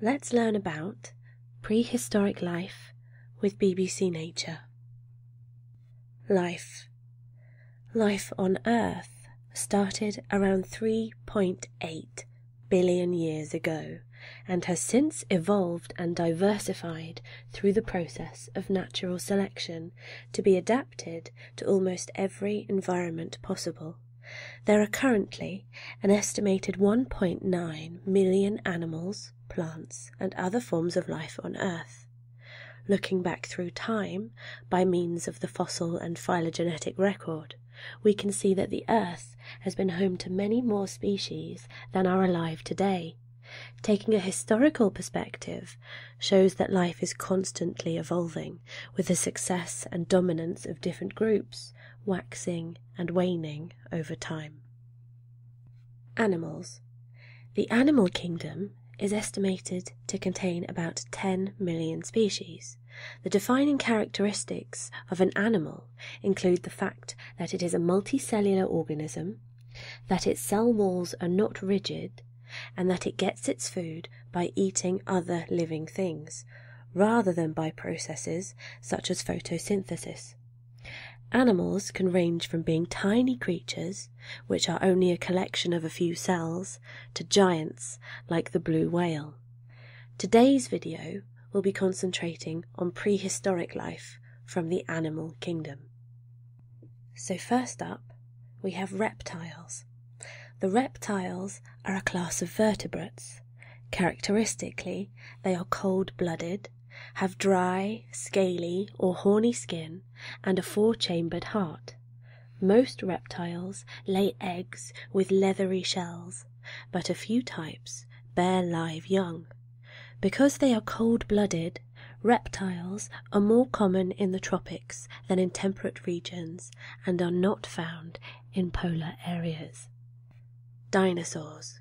Let's learn about prehistoric life with BBC Nature. Life. Life on Earth started around 3.8 billion years ago and has since evolved and diversified through the process of natural selection to be adapted to almost every environment possible. There are currently an estimated 1.9 million animals, plants, and other forms of life on Earth. Looking back through time by means of the fossil and phylogenetic record, we can see that the Earth has been home to many more species than are alive today. Taking a historical perspective shows that life is constantly evolving with the success and dominance of different groups waxing and waning over time. Animals. The animal kingdom is estimated to contain about 10 million species. The defining characteristics of an animal include the fact that it is a multicellular organism, that its cell walls are not rigid, and that it gets its food by eating other living things, rather than by processes such as photosynthesis. Animals can range from being tiny creatures, which are only a collection of a few cells, to giants like the blue whale. Today's video will be concentrating on prehistoric life from the animal kingdom. So first up, we have reptiles, the reptiles are a class of vertebrates. Characteristically, they are cold blooded, have dry, scaly, or horny skin, and a four chambered heart. Most reptiles lay eggs with leathery shells, but a few types bear live young. Because they are cold blooded, reptiles are more common in the tropics than in temperate regions and are not found in polar areas. Dinosaurs.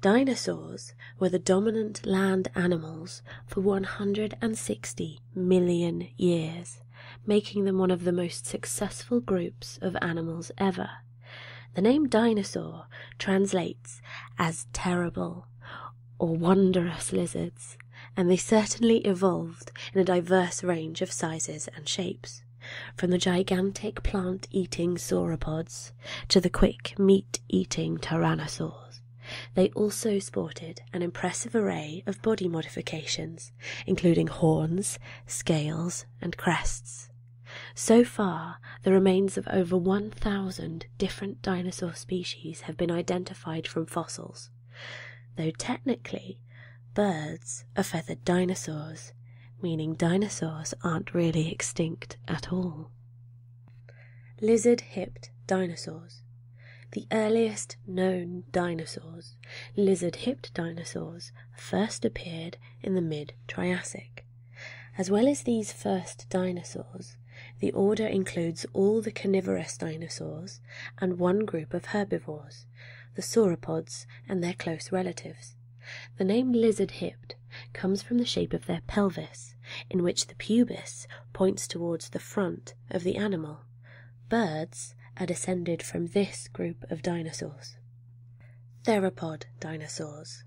Dinosaurs were the dominant land animals for 160 million years, making them one of the most successful groups of animals ever. The name dinosaur translates as terrible or "wonderous lizards, and they certainly evolved in a diverse range of sizes and shapes from the gigantic plant-eating sauropods to the quick meat-eating tyrannosaurs. They also sported an impressive array of body modifications, including horns, scales, and crests. So far, the remains of over 1,000 different dinosaur species have been identified from fossils, Though technically, birds are feathered dinosaurs, meaning dinosaurs aren't really extinct at all. Lizard hipped dinosaurs. The earliest known dinosaurs, lizard hipped dinosaurs, first appeared in the mid Triassic. As well as these first dinosaurs, the order includes all the carnivorous dinosaurs and one group of herbivores the sauropods, and their close relatives. The name lizard hipped comes from the shape of their pelvis, in which the pubis points towards the front of the animal. Birds are descended from this group of dinosaurs. Theropod dinosaurs.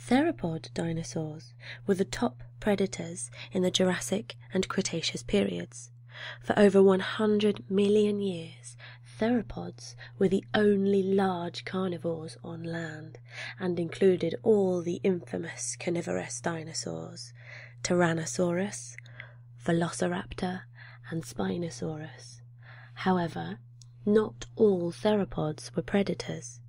Theropod dinosaurs were the top predators in the Jurassic and Cretaceous periods. For over 100 million years, theropods were the only large carnivores on land and included all the infamous carnivorous dinosaurs Tyrannosaurus, Velociraptor, and Spinosaurus. However, not all theropods were predators.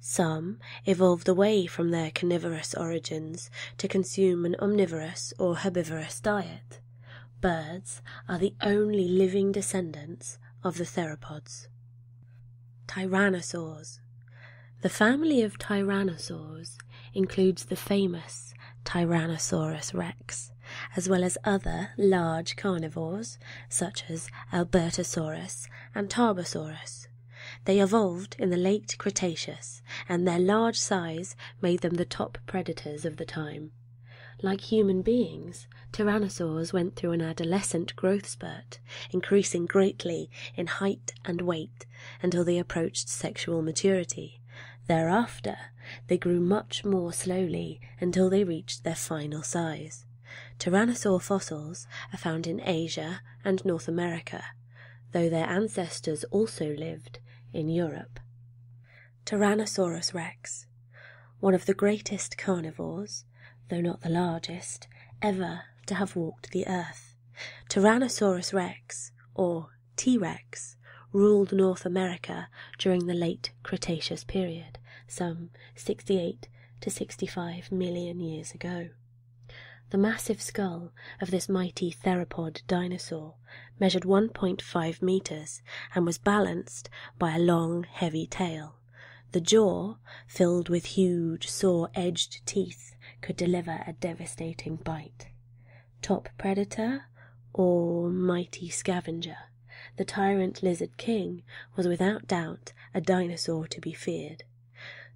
Some evolved away from their carnivorous origins to consume an omnivorous or herbivorous diet birds are the only living descendants of the theropods. Tyrannosaurs. The family of tyrannosaurs includes the famous Tyrannosaurus rex, as well as other large carnivores such as Albertosaurus and Tarbosaurus. They evolved in the late Cretaceous, and their large size made them the top predators of the time. Like human beings, tyrannosaurs went through an adolescent growth spurt, increasing greatly in height and weight until they approached sexual maturity. Thereafter, they grew much more slowly until they reached their final size. Tyrannosaur fossils are found in Asia and North America, though their ancestors also lived in Europe. Tyrannosaurus rex, one of the greatest carnivores, though not the largest, ever to have walked the earth. Tyrannosaurus rex, or T rex, ruled North America during the late Cretaceous period, some 68 to 65 million years ago. The massive skull of this mighty theropod dinosaur measured 1.5 metres, and was balanced by a long, heavy tail. The jaw, filled with huge, saw-edged teeth, could deliver a devastating bite. Top predator or mighty scavenger, the tyrant lizard king was without doubt a dinosaur to be feared.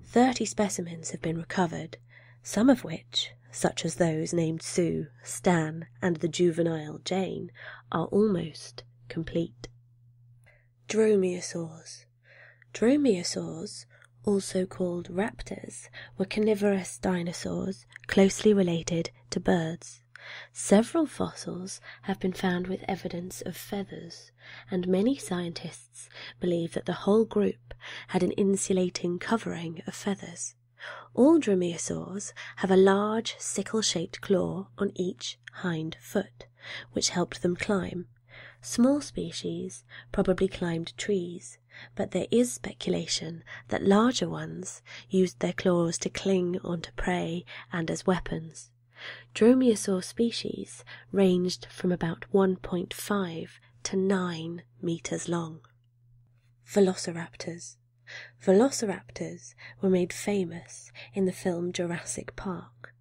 Thirty specimens have been recovered, some of which, such as those named Sue, Stan, and the juvenile Jane, are almost complete. Dromaeosaurs. Dromaeosaurs, also called raptors, were carnivorous dinosaurs closely related to birds. Several fossils have been found with evidence of feathers, and many scientists believe that the whole group had an insulating covering of feathers. All dromaeosaurs have a large sickle-shaped claw on each hind foot, which helped them climb. Small species probably climbed trees, but there is speculation that larger ones used their claws to cling onto prey and as weapons. Dromaeosaur species ranged from about 1.5 to 9 meters long. Velociraptors. Velociraptors were made famous in the film Jurassic Park,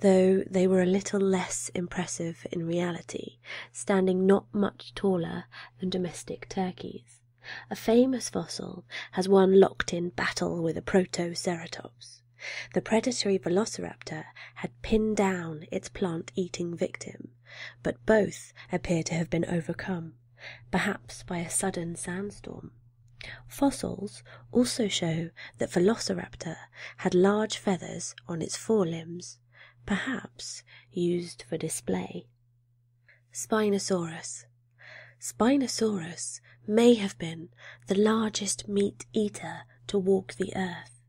though they were a little less impressive in reality, standing not much taller than domestic turkeys. A famous fossil has one locked in battle with a protoceratops. The predatory velociraptor had pinned down its plant eating victim but both appear to have been overcome, perhaps by a sudden sandstorm. Fossils also show that Velociraptor had large feathers on its forelimbs, perhaps used for display. Spinosaurus. Spinosaurus may have been the largest meat eater to walk the earth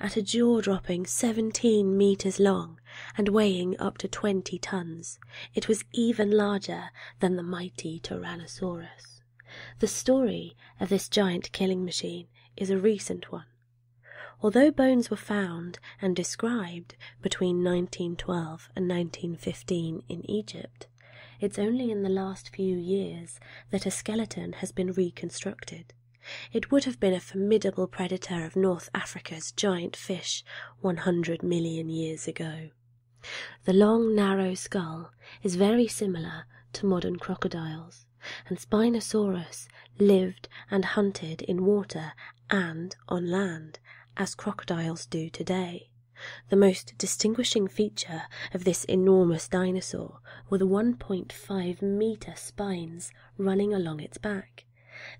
at a jaw-dropping 17 meters long and weighing up to 20 tons. It was even larger than the mighty Tyrannosaurus. The story of this giant killing machine is a recent one. Although bones were found and described between 1912 and 1915 in Egypt, it's only in the last few years that a skeleton has been reconstructed. It would have been a formidable predator of North Africa's giant fish 100 million years ago. The long, narrow skull is very similar to modern crocodiles, and Spinosaurus lived and hunted in water and on land, as crocodiles do today. The most distinguishing feature of this enormous dinosaur were the 1.5 meter spines running along its back.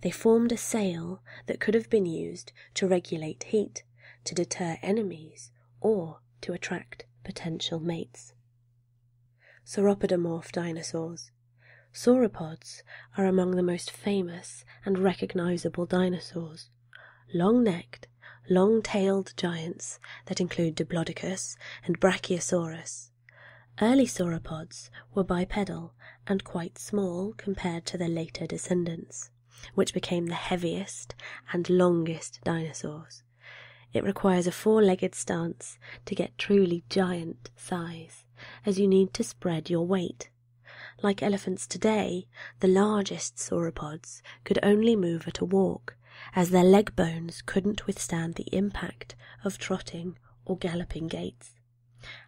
They formed a sail that could have been used to regulate heat, to deter enemies, or to attract potential mates. Sauropodomorph dinosaurs. Sauropods are among the most famous and recognizable dinosaurs. Long necked, long tailed giants that include Diplodocus and Brachiosaurus Early sauropods were bipedal and quite small compared to their later descendants, which became the heaviest and longest dinosaurs. It requires a four legged stance to get truly giant size, as you need to spread your weight. Like elephants today, the largest sauropods could only move at a walk, as their leg bones couldn't withstand the impact of trotting or galloping gaits.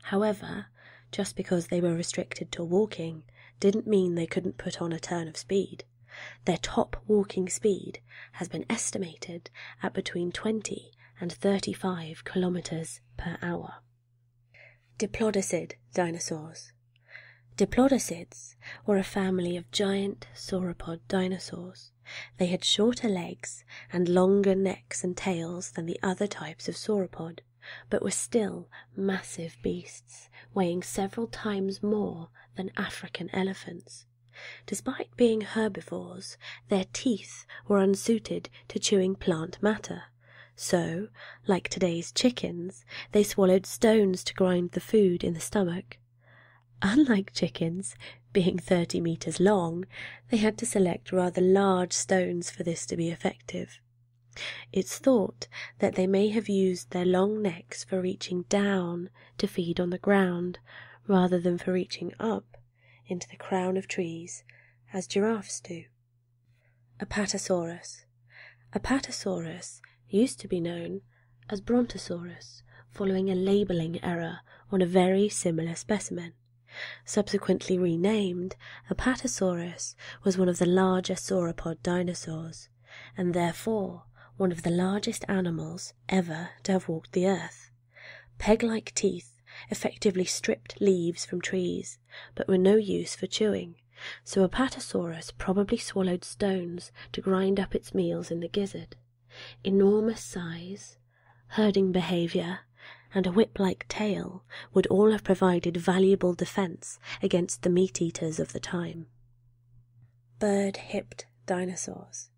However, just because they were restricted to walking didn't mean they couldn't put on a turn of speed. Their top walking speed has been estimated at between 20 and 35 kilometers per hour. Diplodocid dinosaurs. Diplodocids were a family of giant sauropod dinosaurs they had shorter legs and longer necks and tails than the other types of sauropod, but were still massive beasts, weighing several times more than African elephants. Despite being herbivores, their teeth were unsuited to chewing plant matter. So, like today's chickens, they swallowed stones to grind the food in the stomach. Unlike chickens, being 30 metres long, they had to select rather large stones for this to be effective. It's thought that they may have used their long necks for reaching down to feed on the ground, rather than for reaching up into the crown of trees, as giraffes do. Apatosaurus. Apatosaurus used to be known as Brontosaurus following a labeling error on a very similar specimen. Subsequently renamed, Apatosaurus was one of the larger sauropod dinosaurs, and therefore one of the largest animals ever to have walked the earth. Peg-like teeth effectively stripped leaves from trees, but were no use for chewing, so Apatosaurus probably swallowed stones to grind up its meals in the gizzard. Enormous size, herding behaviour, and a whip-like tail would all have provided valuable defence against the meat-eaters of the time. Bird-hipped dinosaurs.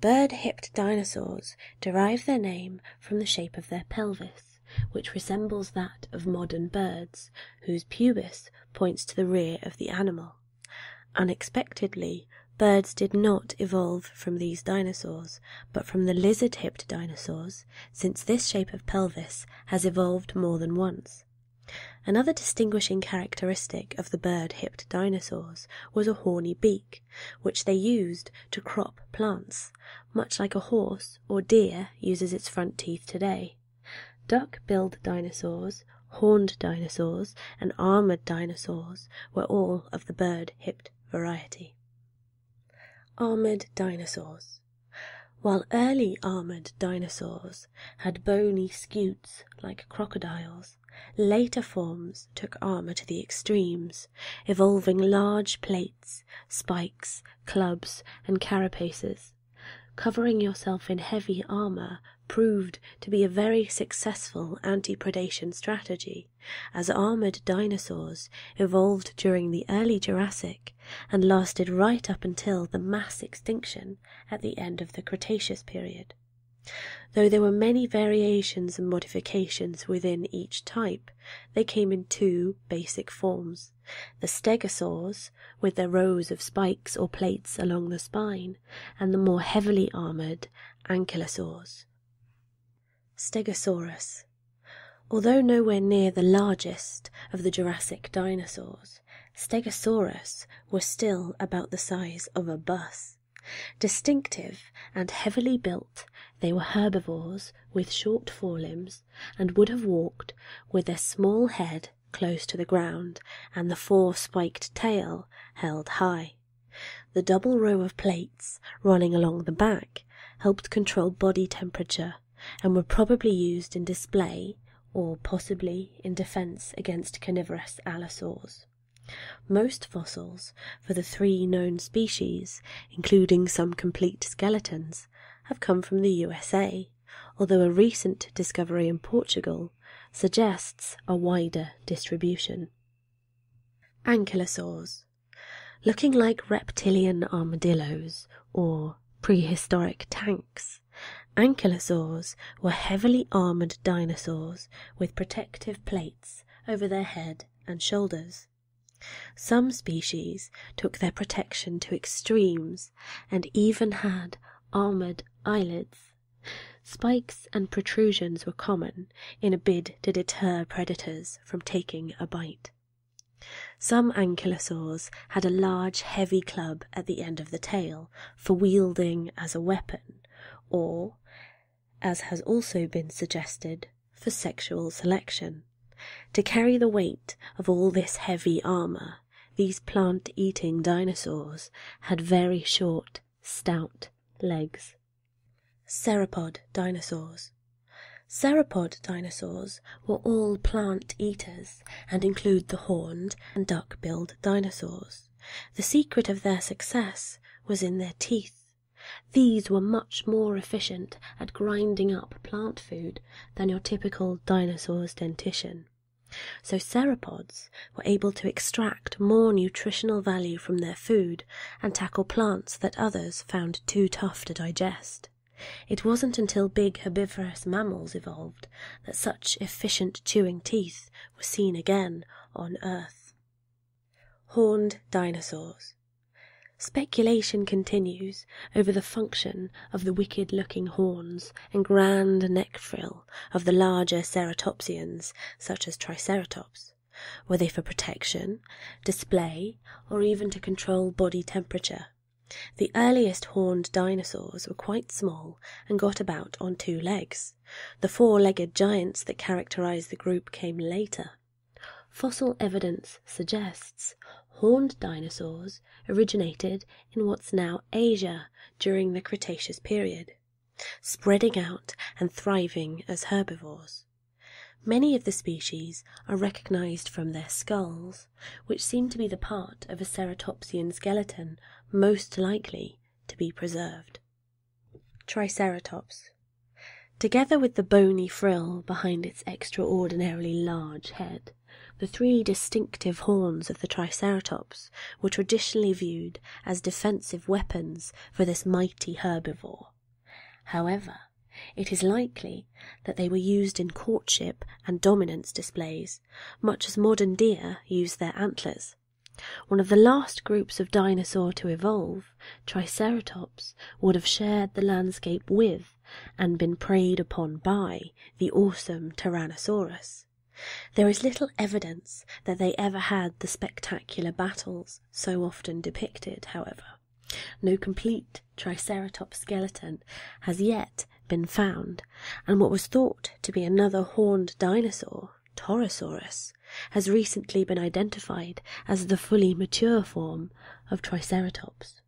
Bird-hipped dinosaurs derive their name from the shape of their pelvis, which resembles that of modern birds, whose pubis points to the rear of the animal. Unexpectedly, birds did not evolve from these dinosaurs, but from the lizard hipped dinosaurs, since this shape of pelvis has evolved more than once. Another distinguishing characteristic of the bird hipped dinosaurs was a horny beak, which they used to crop plants, much like a horse or deer uses its front teeth today. Duck billed dinosaurs horned dinosaurs, and armored dinosaurs were all of the bird hipped variety. Armored dinosaurs. While early armored dinosaurs had bony scutes like crocodiles, later forms took armor to the extremes, evolving large plates, spikes, clubs, and carapaces. Covering yourself in heavy armor proved to be a very successful anti predation strategy, as armored dinosaurs evolved during the early Jurassic and lasted right up until the mass extinction at the end of the Cretaceous period. Though there were many variations and modifications within each type, they came in two basic forms the stegosaurs, with their rows of spikes or plates along the spine, and the more heavily armored ankylosaurs. Stegosaurus. Although nowhere near the largest of the Jurassic dinosaurs, Stegosaurus was still about the size of a bus. Distinctive and heavily built, they were herbivores with short forelimbs and would have walked with their small head close to the ground and the four spiked tail held high. The double row of plates running along the back helped control body temperature and were probably used in display or possibly in defense against carnivorous allosaurs. Most fossils for the three known species, including some complete skeletons, have come from the USA, although a recent discovery in Portugal suggests a wider distribution. Ankylosaurs, looking like reptilian armadillos or prehistoric tanks, ankylosaurs were heavily armored dinosaurs with protective plates over their head and shoulders. Some species took their protection to extremes and even had armored eyelids Spikes and protrusions were common in a bid to deter predators from taking a bite. Some ankylosaurs had a large, heavy club at the end of the tail for wielding as a weapon, or, as has also been suggested, for sexual selection. To carry the weight of all this heavy armor, these plant eating dinosaurs had very short, stout legs. Serapod dinosaurs. Serapod dinosaurs were all plant eaters and include the horned and duck-billed dinosaurs. The secret of their success was in their teeth. These were much more efficient at grinding up plant food than your typical dinosaur's dentition. So sauropods were able to extract more nutritional value from their food and tackle plants that others found too tough to digest. It wasn't until big herbivorous mammals evolved that such efficient chewing teeth were seen again on Earth. Horned dinosaurs. Speculation continues over the function of the wicked looking horns and grand neck frills of the larger ceratopsians, such as Triceratops, were they for protection, display, or even to control body temperature. The earliest horned dinosaurs were quite small and got about on two legs. The four legged giants that characterize the group came later. Fossil evidence suggests horned dinosaurs originated in what's now Asia during the Cretaceous period spreading out and thriving as herbivores. Many of the species are recognized from their skulls, which seem to be the part of a ceratopsian skeleton most likely to be preserved. Triceratops. Together with the bony frill behind its extraordinarily large head, the three distinctive horns of the Triceratops were traditionally viewed as defensive weapons for this mighty herbivore. However, it is likely that they were used in courtship and dominance displays, much as modern deer use their antlers. One of the last groups of dinosaur to evolve, Triceratops, would have shared the landscape with, and been preyed upon by, the awesome Tyrannosaurus. There is little evidence that they ever had the spectacular battles so often depicted, however. No complete Triceratops skeleton has yet been found, and what was thought to be another horned dinosaur, Torosaurus, has recently been identified as the fully mature form of Triceratops.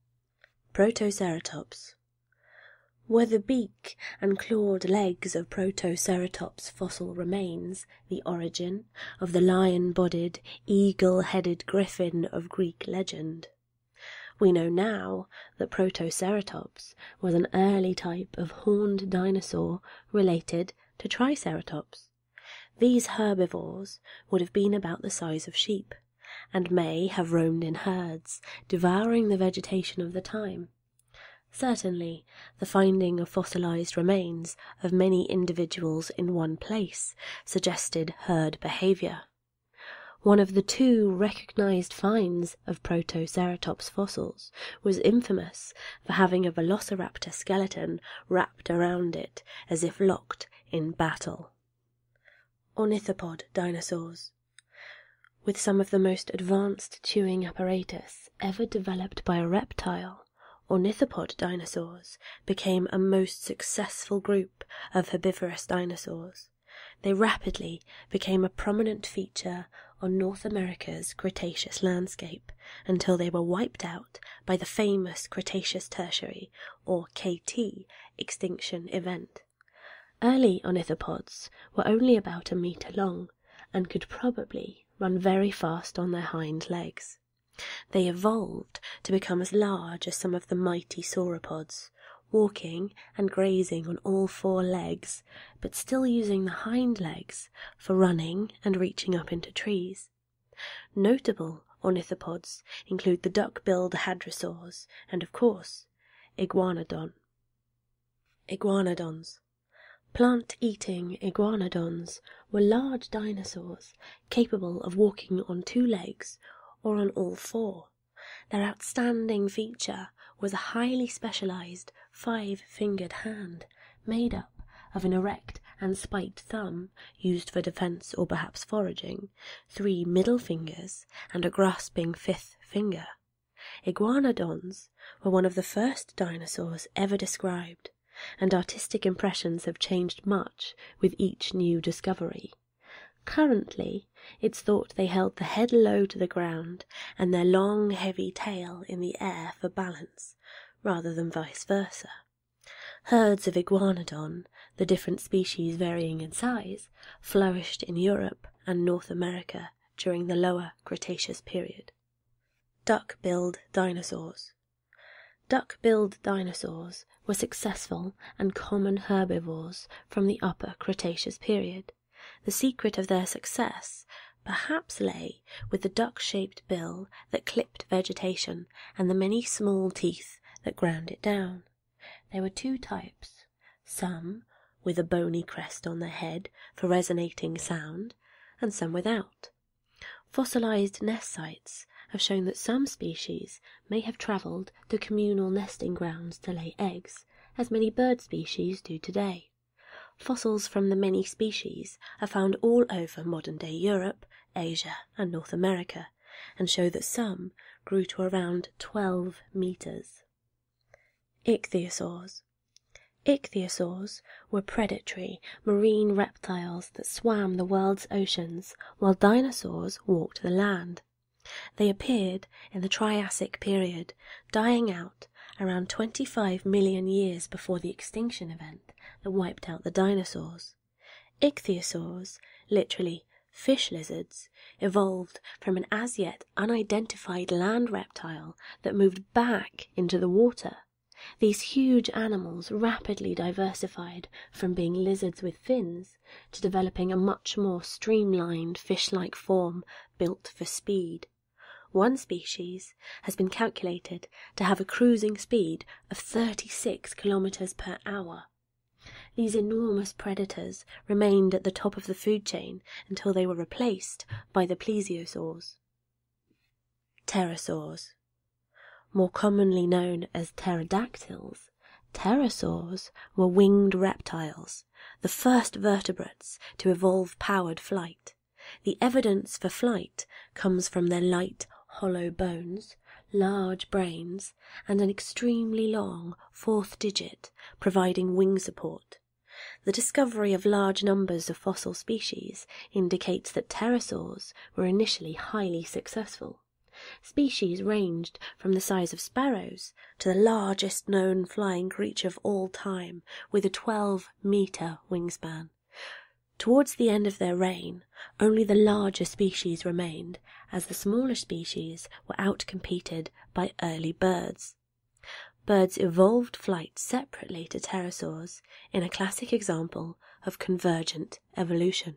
Protoceratops were the beak and clawed legs of Protoceratops fossil remains the origin of the lion bodied, eagle headed griffin of Greek legend. We know now that Protoceratops was an early type of horned dinosaur related to Triceratops. These herbivores would have been about the size of sheep, and may have roamed in herds, devouring the vegetation of the time. Certainly, the finding of fossilized remains of many individuals in one place suggested herd behavior. One of the two recognized finds of Protoceratops fossils was infamous for having a velociraptor skeleton wrapped around it as if locked in battle. Ornithopod dinosaurs. With some of the most advanced chewing apparatus ever developed by a reptile, ornithopod dinosaurs became a most successful group of herbivorous dinosaurs. They rapidly became a prominent feature on North America's Cretaceous landscape until they were wiped out by the famous Cretaceous Tertiary, or KT, extinction event. Early ornithopods were only about a meter long and could probably run very fast on their hind legs. They evolved to become as large as some of the mighty sauropods, walking and grazing on all four legs, but still using the hind legs for running and reaching up into trees. Notable ornithopods include the duck-billed hadrosaurs and, of course, iguanodon. iguanodons. Plant-eating iguanodons were large dinosaurs capable of walking on two legs or on all four. Their outstanding feature was a highly specialized five-fingered hand made up of an erect and spiked thumb used for defense or perhaps foraging, three middle fingers, and a grasping fifth finger. Iguanodons were one of the first dinosaurs ever described, and artistic impressions have changed much with each new discovery. Currently, it's thought they held the head low to the ground and their long, heavy tail in the air for balance, rather than vice versa. Herds of iguanodon, the different species varying in size, flourished in Europe and North America during the Lower Cretaceous period. Duck-billed dinosaurs. Duck-billed dinosaurs were successful and common herbivores from the Upper Cretaceous period. The secret of their success perhaps lay with the duck-shaped bill that clipped vegetation and the many small teeth that ground it down. There were two types some with a bony crest on the head for resonating sound, and some without. Fossilized nest sites have shown that some species may have traveled to communal nesting grounds to lay eggs, as many bird species do today. Fossils from the many species are found all over modern-day Europe, Asia, and North America, and show that some grew to around 12 meters. Ichthyosaurs. Ichthyosaurs were predatory marine reptiles that swam the world's oceans while dinosaurs walked the land. They appeared in the Triassic period, dying out around 25 million years before the extinction event that wiped out the dinosaurs. Ichthyosaurs, literally fish lizards, evolved from an as yet unidentified land reptile that moved back into the water. These huge animals rapidly diversified from being lizards with fins to developing a much more streamlined fish like form built for speed. One species has been calculated to have a cruising speed of 36 kilometers per hour. These enormous predators remained at the top of the food chain until they were replaced by the plesiosaurs. Pterosaurs. More commonly known as pterodactyls, pterosaurs were winged reptiles, the first vertebrates to evolve powered flight. The evidence for flight comes from their light, hollow bones, large brains, and an extremely long fourth digit providing wing support. The discovery of large numbers of fossil species indicates that pterosaurs were initially highly successful. Species ranged from the size of sparrows to the largest known flying creature of all time, with a 12 meter wingspan. Towards the end of their reign, only the larger species remained, as the smaller species were outcompeted by early birds Birds evolved flight separately to pterosaurs in a classic example of convergent evolution.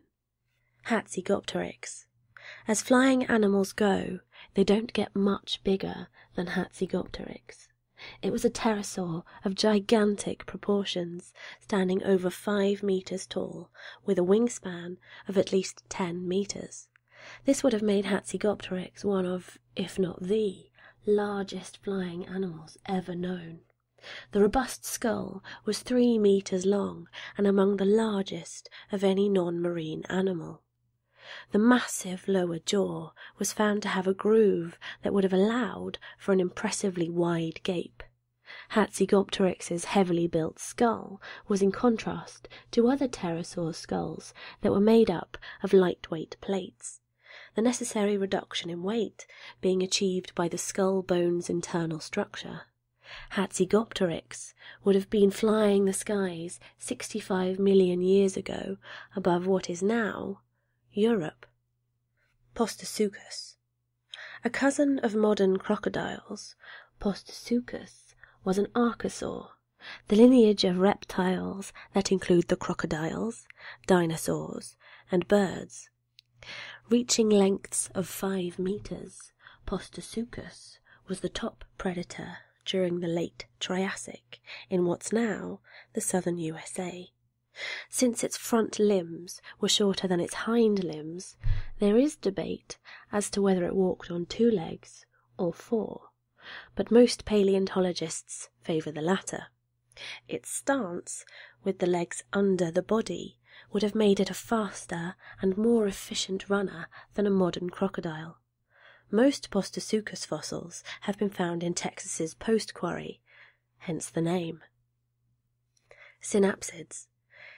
Hatzigopteryx. As flying animals go, they don't get much bigger than Hatzigopteryx. It was a pterosaur of gigantic proportions, standing over five meters tall, with a wingspan of at least ten meters. This would have made Hatzigopteryx one of, if not the, largest flying animals ever known. The robust skull was three meters long and among the largest of any non-marine animal. The massive lower jaw was found to have a groove that would have allowed for an impressively wide gape. Hatzigopteryx's heavily built skull was in contrast to other pterosaur skulls that were made up of lightweight plates, the necessary reduction in weight being achieved by the skull bone's internal structure. Hatzigopteryx would have been flying the skies 65 million years ago above what is now Europe. Postosuchus, A cousin of modern crocodiles, Postosuchus was an archosaur the lineage of reptiles that include the crocodiles, dinosaurs, and birds, reaching lengths of five meters. Postosuchus was the top predator during the late Triassic in what's now the southern USA. Since its front limbs were shorter than its hind limbs, there is debate as to whether it walked on two legs or four but most paleontologists favour the latter. Its stance, with the legs under the body, would have made it a faster and more efficient runner than a modern crocodile. Most Postosuchus fossils have been found in Texas's post quarry, hence the name. Synapsids.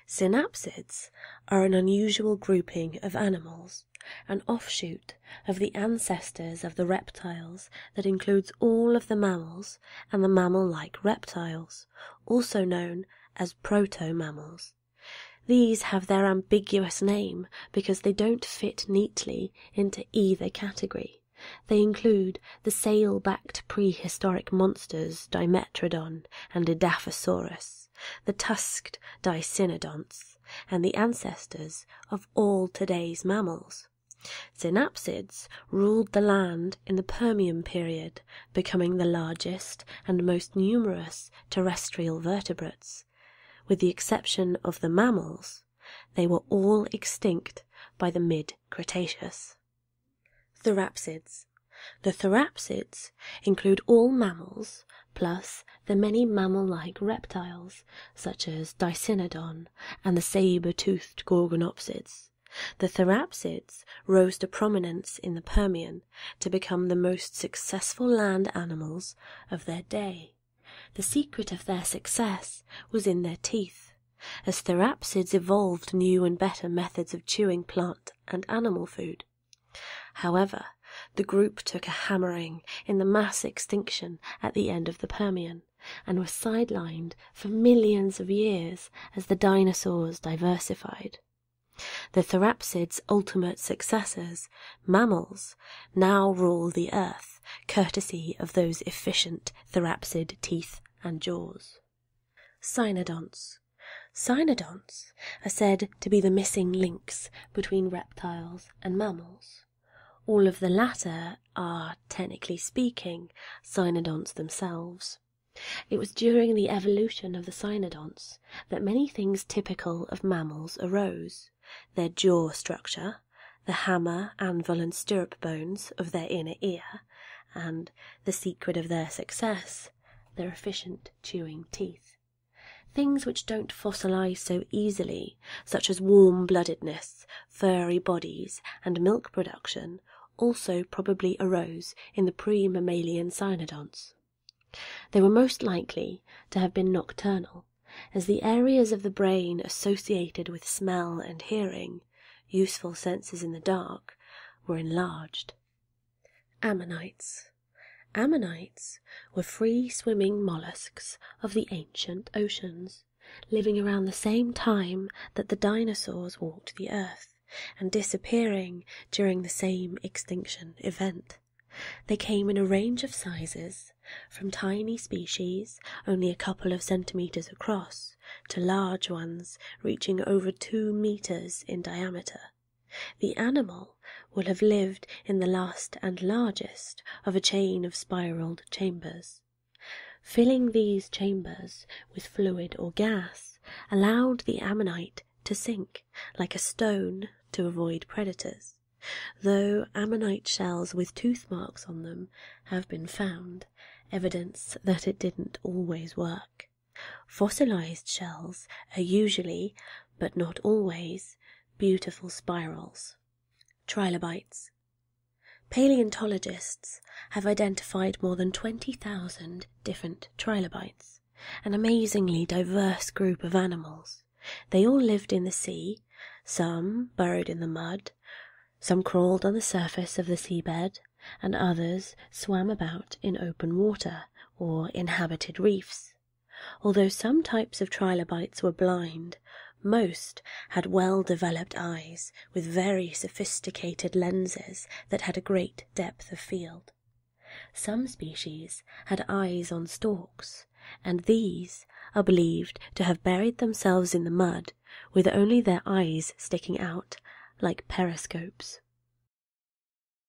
Synapsids are an unusual grouping of animals an offshoot of the ancestors of the reptiles that includes all of the mammals and the mammal like reptiles, also known as proto mammals. These have their ambiguous name because they don't fit neatly into either category. They include the sail backed prehistoric monsters Dimetrodon and Edaphosaurus the tusked Dicynodonts, and the ancestors of all today's mammals. Synapsids ruled the land in the Permian period, becoming the largest and most numerous terrestrial vertebrates. With the exception of the mammals, they were all extinct by the mid Cretaceous. Therapsids. The therapsids include all mammals plus the many mammal-like reptiles, such as Dicynodon and the saber-toothed Gorgonopsids. The therapsids rose to prominence in the Permian to become the most successful land animals of their day. The secret of their success was in their teeth, as therapsids evolved new and better methods of chewing plant and animal food. However, the group took a hammering in the mass extinction at the end of the Permian and was sidelined for millions of years as the dinosaurs diversified. The therapsid's ultimate successors, mammals, now rule the earth, courtesy of those efficient therapsid teeth and jaws. Cynodonts. Cynodonts are said to be the missing links between reptiles and mammals. All of the latter are, technically speaking, cynodonts themselves. It was during the evolution of the cynodonts that many things typical of mammals arose their jaw structure, the hammer, anvil, and stirrup bones of their inner ear, and the secret of their success, their efficient chewing teeth. Things which don't fossilize so easily, such as warm bloodedness, furry bodies, and milk production, also probably arose in the pre mammalian cynodonts. They were most likely to have been nocturnal, as the areas of the brain associated with smell and hearing, useful senses in the dark, were enlarged. Ammonites. Ammonites were free swimming mollusks of the ancient oceans, living around the same time that the dinosaurs walked the earth and disappearing during the same extinction event. They came in a range of sizes, from tiny species only a couple of centimeters across to large ones reaching over two meters in diameter. The animal will have lived in the last and largest of a chain of spiralled chambers. Filling these chambers with fluid or gas allowed the ammonite to sink like a stone to avoid predators, though ammonite shells with tooth marks on them have been found, evidence that it didn't always work. Fossilized shells are usually, but not always, beautiful spirals. Trilobites. Paleontologists have identified more than 20,000 different trilobites, an amazingly diverse group of animals. They all lived in the sea, some burrowed in the mud, some crawled on the surface of the seabed, and others swam about in open water or inhabited reefs. Although some types of trilobites were blind, most had well developed eyes with very sophisticated lenses that had a great depth of field. Some species had eyes on stalks, and these are believed to have buried themselves in the mud with only their eyes sticking out like periscopes.